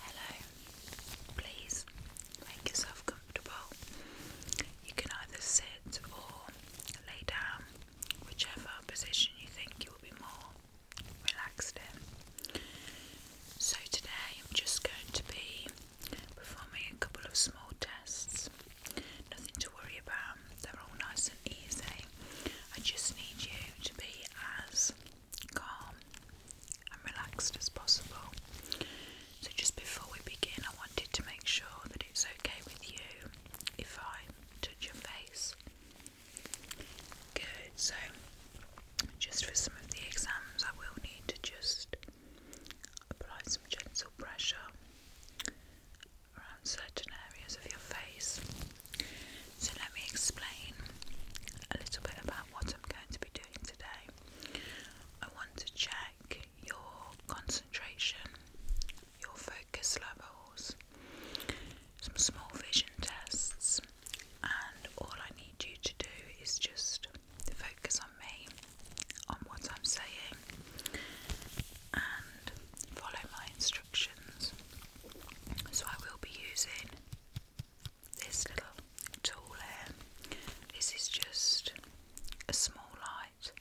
Hello, please make yourself comfortable. You can either sit or lay down, whichever position you think you will be more relaxed in. So, today I'm just going to be performing a couple of small tests. Nothing to worry about, they're all nice and easy. I just need you to be as calm and relaxed as possible. So, just before we begin, I wanted to make sure that it's okay with you if I touch your face. Good, so just for some of the exams, I will need to just apply some gentle pressure around certain areas of your face. So let me explain a little bit about what I'm going to be doing today. I want to check your concentration, your focus levels, some small vision tests, and all I need you to do is just focus on me, on what I'm saying, and follow my instructions. So I will be using this little tool here. This is just a small light.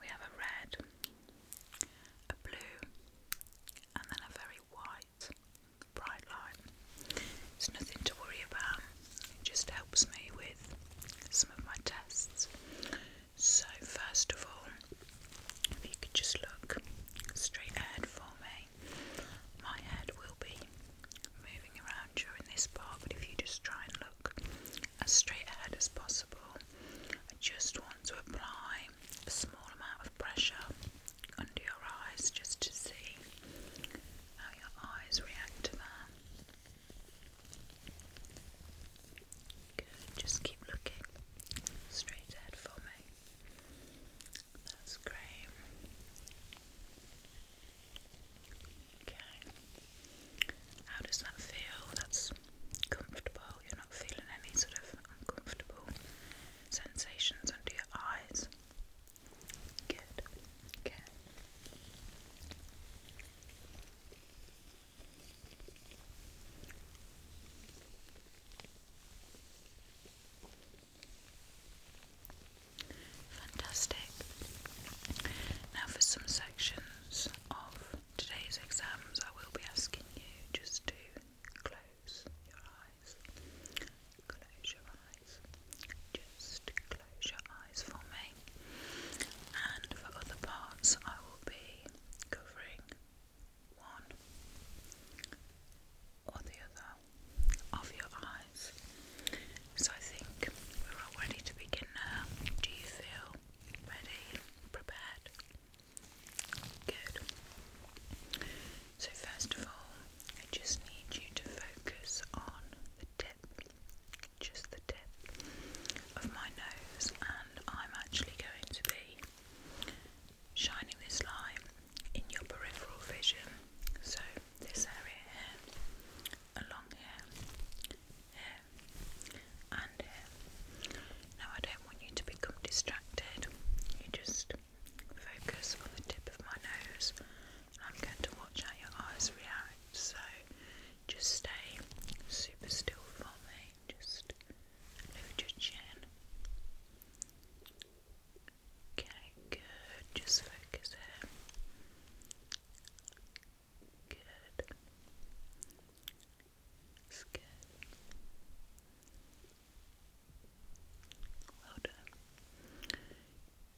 We have a red, a blue, and then a very white, bright light. It's nothing to worry about, it just helps me with some of my tests. So, first of all, if you could just look straight ahead for me, my head will be moving around during this part, but if you just try and look as straight ahead as possible, I just want to apply a small amount of pressure under your eyes just to see how your eyes react to that. just keep looking straight ahead for me. That's great. Okay. How does that feel? That's comfortable. You're not feeling any sort of uncomfortable sensations under your eyes. Good. Okay. Fantastic. Now, for some sections of today's exams, I will be asking you just to close your eyes. Close your eyes. Just close your eyes for me. And for other parts, I will be covering one or the other of your eyes. So I think we're all ready to begin Do you feel ready, prepared? Good. So, first of all, I just need you to focus on the tip, just the tip of my nose, and I'm actually going to be shining this light in your peripheral vision. So, this area here, along here, here, and here. Now, I don't want you to become distracted, you just focus on the tip of my nose, I'm going to watch how your eyes react. So, just stay super still for me, Just over your chin. Okay, good. Just focus here. Good. That's good. Well done.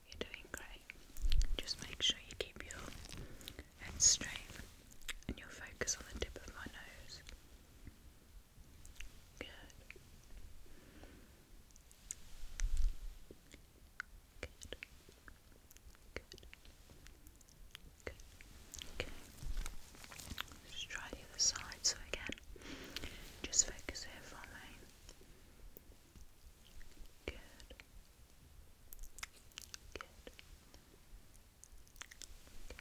You're doing great. Just make sure you keep your head straight and your focus on the tip of my nose. Good. Good. try the other side. So again, just focus here for me. Good. Good good.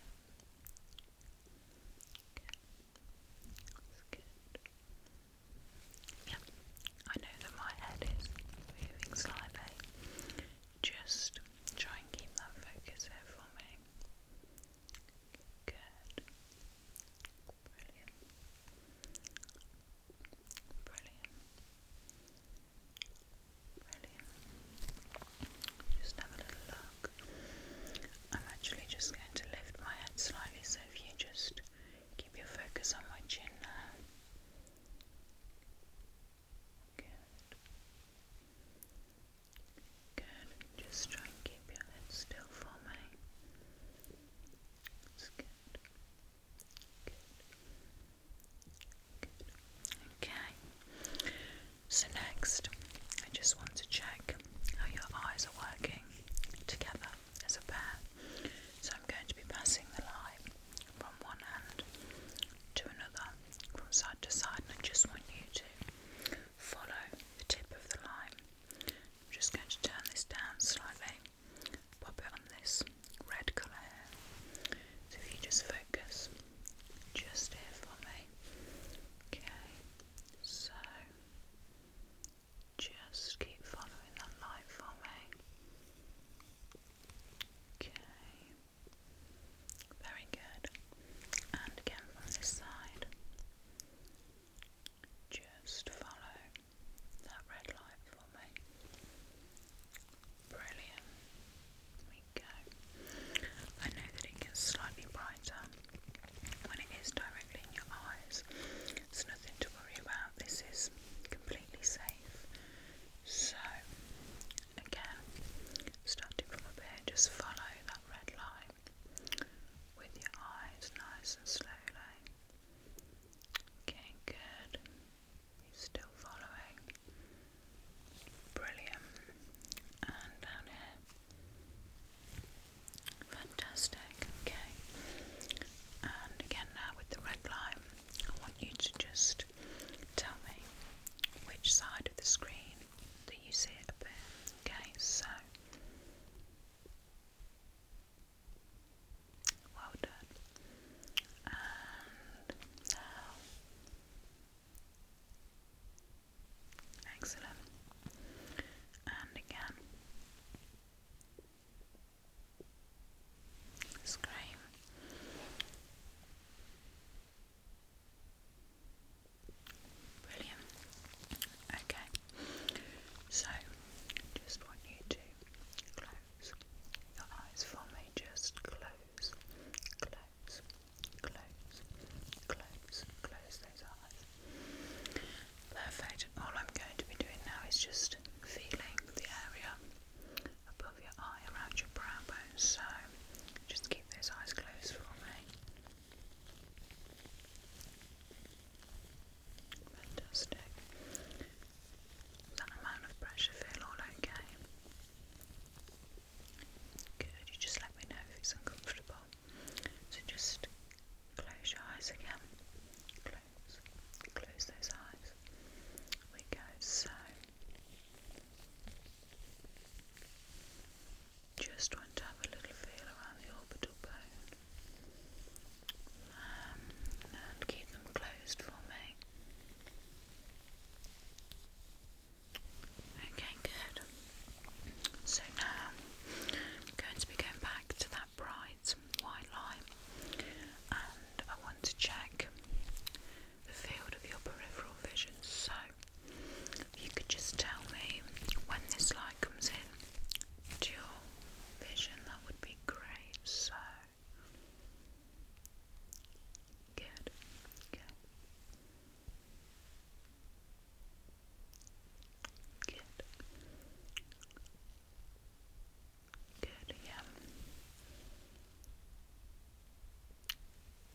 Yeah, I know that my head is moving slightly. Just try and keep that focus here for me. Good. Brilliant. Brilliant. Brilliant. Just have a little I'm actually just going to lift my head slightly, so if you just keep your focus on my chin now. Good. Good. Just try and keep your head still for me. Good. Good. Okay. So, next, I just want to check how your eyes are working together as a pair. So, I'm going to be passing the line from one hand to another, from side to side, and I just want you to follow the tip of the line. I'm just going to turn this down slightly, pop it on this red colour So, if you just focus just here for me. Okay, so just keep following that light for me. Okay, very good. And again from this side, just follow that red light for me. Brilliant we go. I know that it gets slightly brighter when it is directly in your eyes. It's nothing to worry about. This is completely safe. So, again, starting from up here, just follow that red line with your eyes nice and slowly. Okay, good. He's still following. Brilliant. And down here. Fantastic. Okay. And again now with the red line, I want you to just tell me which side of the screen that you see it appear. Okay, so well done. And now Excellent. And again. Scream. Brilliant. Okay. So, just want you to close your eyes for me. Just close, close, Close, close, close those eyes. Perfect. all I'm going to be doing now is just feeling the area above your eye around your brow bone. So just keep those eyes closed for me. Fantastic. that amount of pressure feel all okay? Good, you just let me know if it's uncomfortable. So just close your eyes again. Close, close those eyes. We go, so just want to have a little feel around the orbital bone. Um, and keep them closed for me. Okay, good. So now I'm going to be going back to that bright white line and I want to check the field of your peripheral vision. So if you could just tell me when this light comes in to your vision, that would be great. So Good. Good. Good. Good, yeah.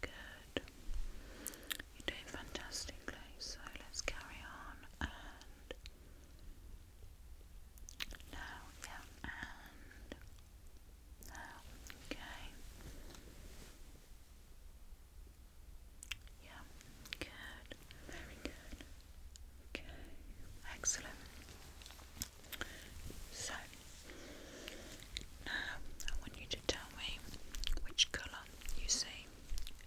Good. You're doing fantastically, so let's carry on and now, yeah, and Okay. Yeah, good. Very good. Okay, excellent. So, now I want you to tell me which colour you see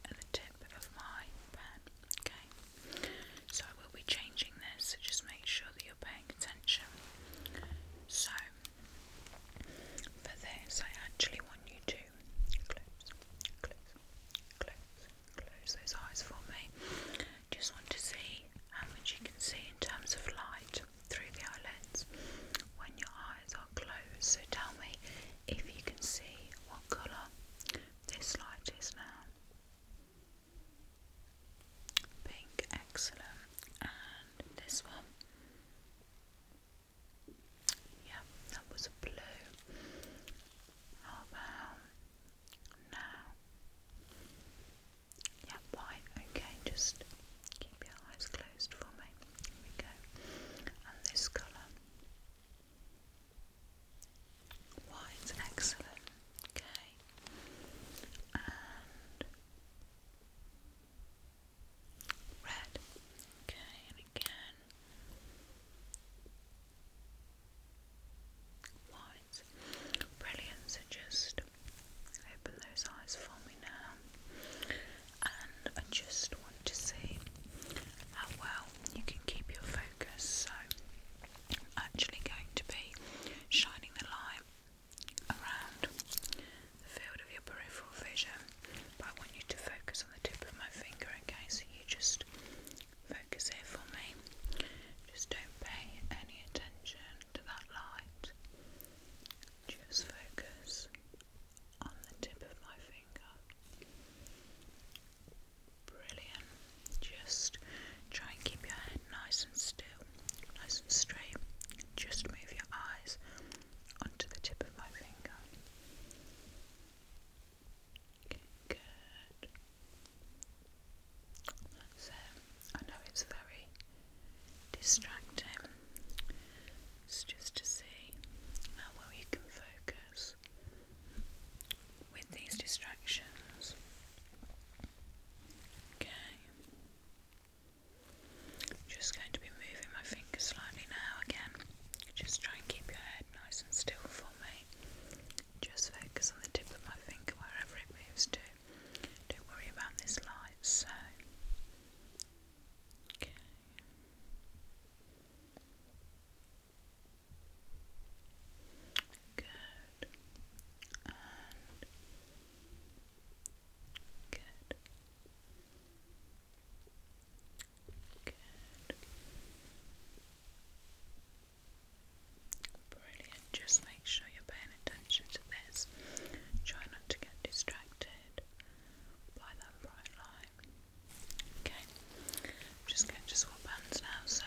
at the tip of my pen. Okay, so I will be changing this, so just make sure that you're paying attention. So, for this, I actually want you to close, close, close, close those eyes for me. Just want to see how much you can see in terms of light through the eyelids when your eyes are closed. So tell me if you can see what colour this light is now. Pink, excellent. And this one. Yeah, that was a blue. How about now? Yeah, white. Okay, just keep your eyes closed for me. we go. And this colour. White, excellent. Okay. Red. Okay, and again. White. Brilliant. So just open those eyes for me now. And I just want to see how well you can keep your focus. So I'm actually going to be shining the light around the field of your peripheral vision, but I want you to focus on the tip of my finger, okay? So you just focus here for me. Just don't pay any attention to that light. Just focus on the tip of my finger. Brilliant. Just try and keep your head nice and still, nice and straight. Just move your eyes onto the tip of my finger. Okay, good. That's um, I know it's very distracting. It's just to see how well you can focus with these distractions. Okay. Just going to be moving my fingers slightly now again. Just try and keep your head nice and still for me. Just focus on the tip of my finger wherever it moves to. Don't worry about this light, so. Good. Brilliant. Just make sure you're paying attention to this. Try not to get distracted by that bright light. Okay. just going to swap hands now, so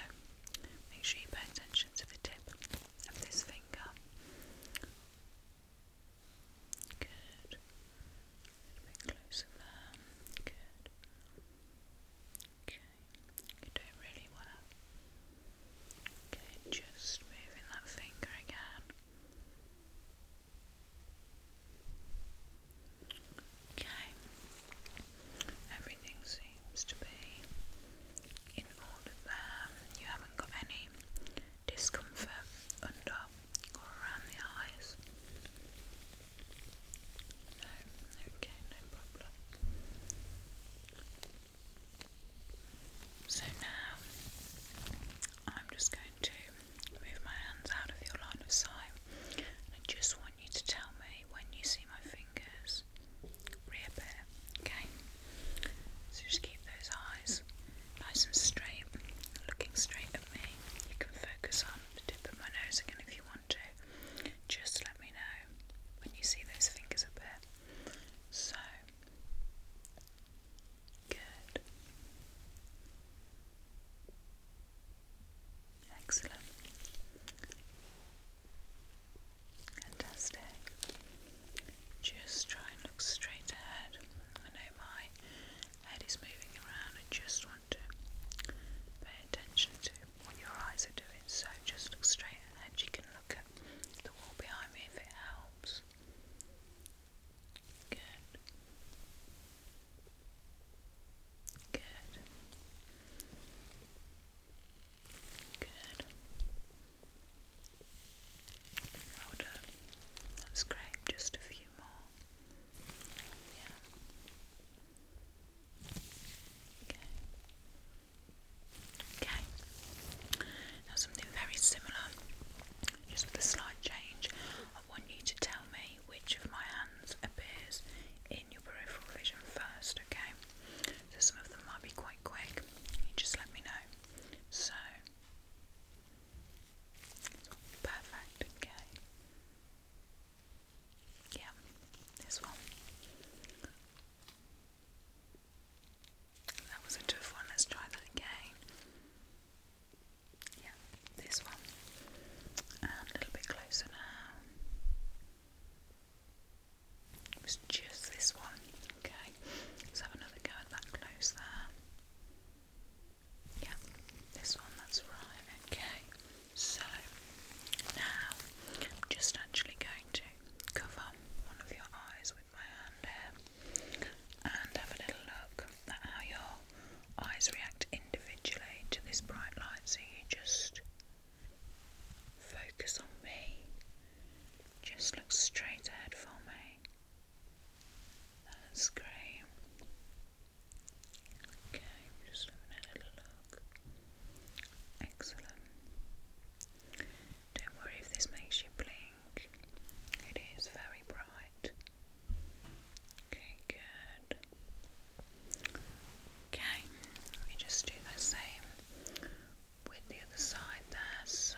make sure you pay attention to the tip of this finger. Good. A bit closer Good. Okay. You're doing really well. Okay, just moving that finger again. Okay. Everything seems to be in all of you haven't got any discomfort under or around the eyes. No, okay, no problem. So now I'm just going to move my hands out of your line of sight I just want you to tell me when you see my fingers reappear. Okay, so just keep those eyes nice and straight, looking straight at me. You can focus on the tip of my nose again if you want to. Just let me know when you see those fingers appear. So good. Excellent. Fantastic. Just try and look straight ahead. I know my head is moving around. I just want to pay attention to what your eyes are doing. So just look straight ahead. You can look at the wall behind me if it helps. Good. Good. Good. That's great. Just a few more. Yeah. Okay. Okay. Now something very similar, just with a slight change. I want you to tell me which of my hands appears in your peripheral vision first, okay? So some of them might be quite quick. You just let me know. So perfect, okay. Yeah, this one. That was a tough one, let's try that again. Yeah, this one. a little bit closer now. It was just this one. Okay, let's another go that close there. Yeah, this one, that's right. Okay, so now I'm just actually going to cover one of your eyes with my hand here and have a little look at how your eyes react individually to this bright light. So you just focus on me just look straight ahead for me. That's great. Okay, just having a little look. Excellent. Don't worry if this makes you blink. It is very bright. Okay, good. Okay, we just do the same with the other side there, so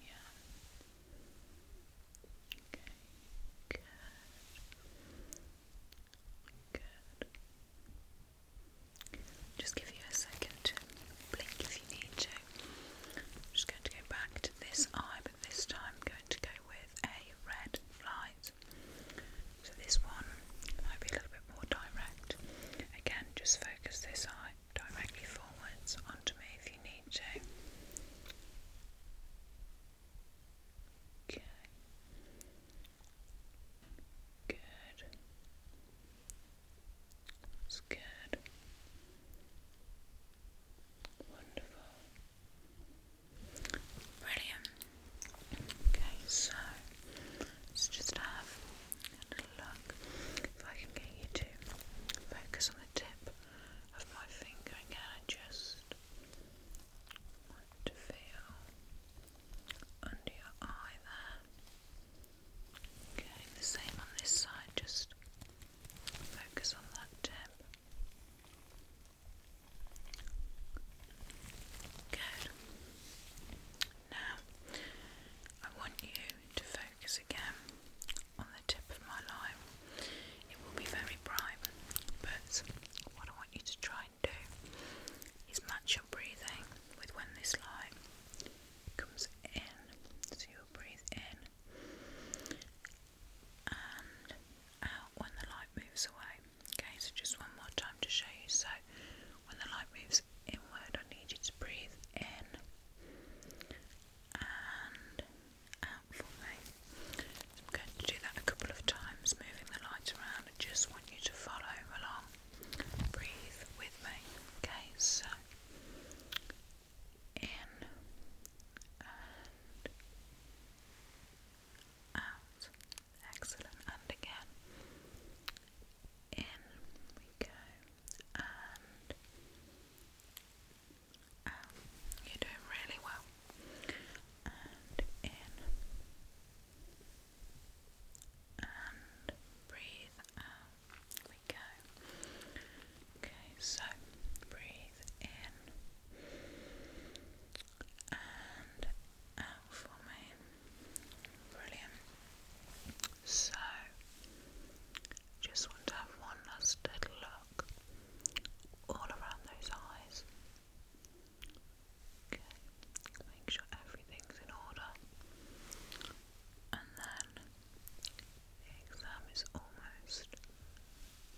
yeah. Okay, good. Good. Just give you a second to blink if you need to. I'm just going to go back to this eye, but this time I'm going to go with a red light so this one might be a little bit more direct. Again, just focus this eye directly forwards onto me if you need to. Okay. Good. That's good. Wonderful. Brilliant. Okay, so just have a look if I can get you to focus on the tip of my finger again. just want to feel under your eye there. Okay, the same on this side, just focus on that tip. Good. Now, I want you to focus again on the tip of my line. It will be very bright, but what I want you to try and do is match your breathing with when this line comes in. So you breathe in and out when the light moves away. Okay, so just one more time to show you. So when the light moves inward, I need you to breathe in and out for me. I'm going to do that a couple of times, moving the light around. I just want you to follow along. Breathe with me. Okay, so in and out. Excellent. And again. In we go. And um, You're doing really well. And in. And breathe out. We go. Okay, so breathe in and out for me. Brilliant. So, just want to have one last little look all around those eyes. Okay, make sure everything's in order. And then the exam is almost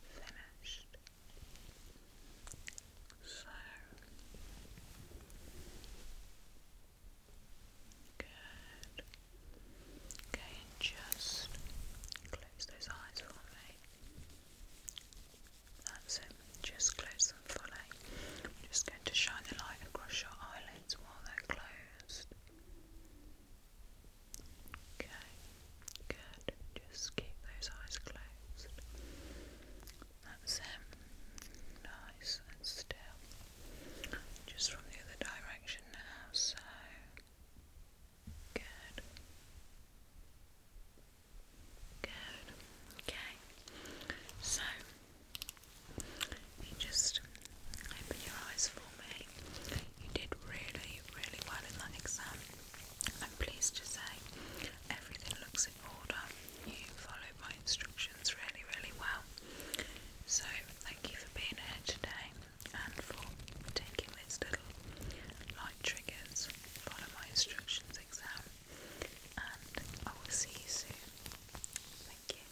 finished. So good. Okay, just close those eyes for me. That's it. Just close them for I'm just going to shine the light across your eyelids while they're closed. Okay, good. Just keep those eyes closed. That's it. Nice and still. Just from the other direction now, so good. Good. Okay. So you just open your eyes for me. You did really, really well in that exam. I'm pleased to say everything looks in order. You followed my instructions really, really well. So, thank you for being here today and for taking this little light triggers, follow my instructions exam, and I will see you soon. Thank you.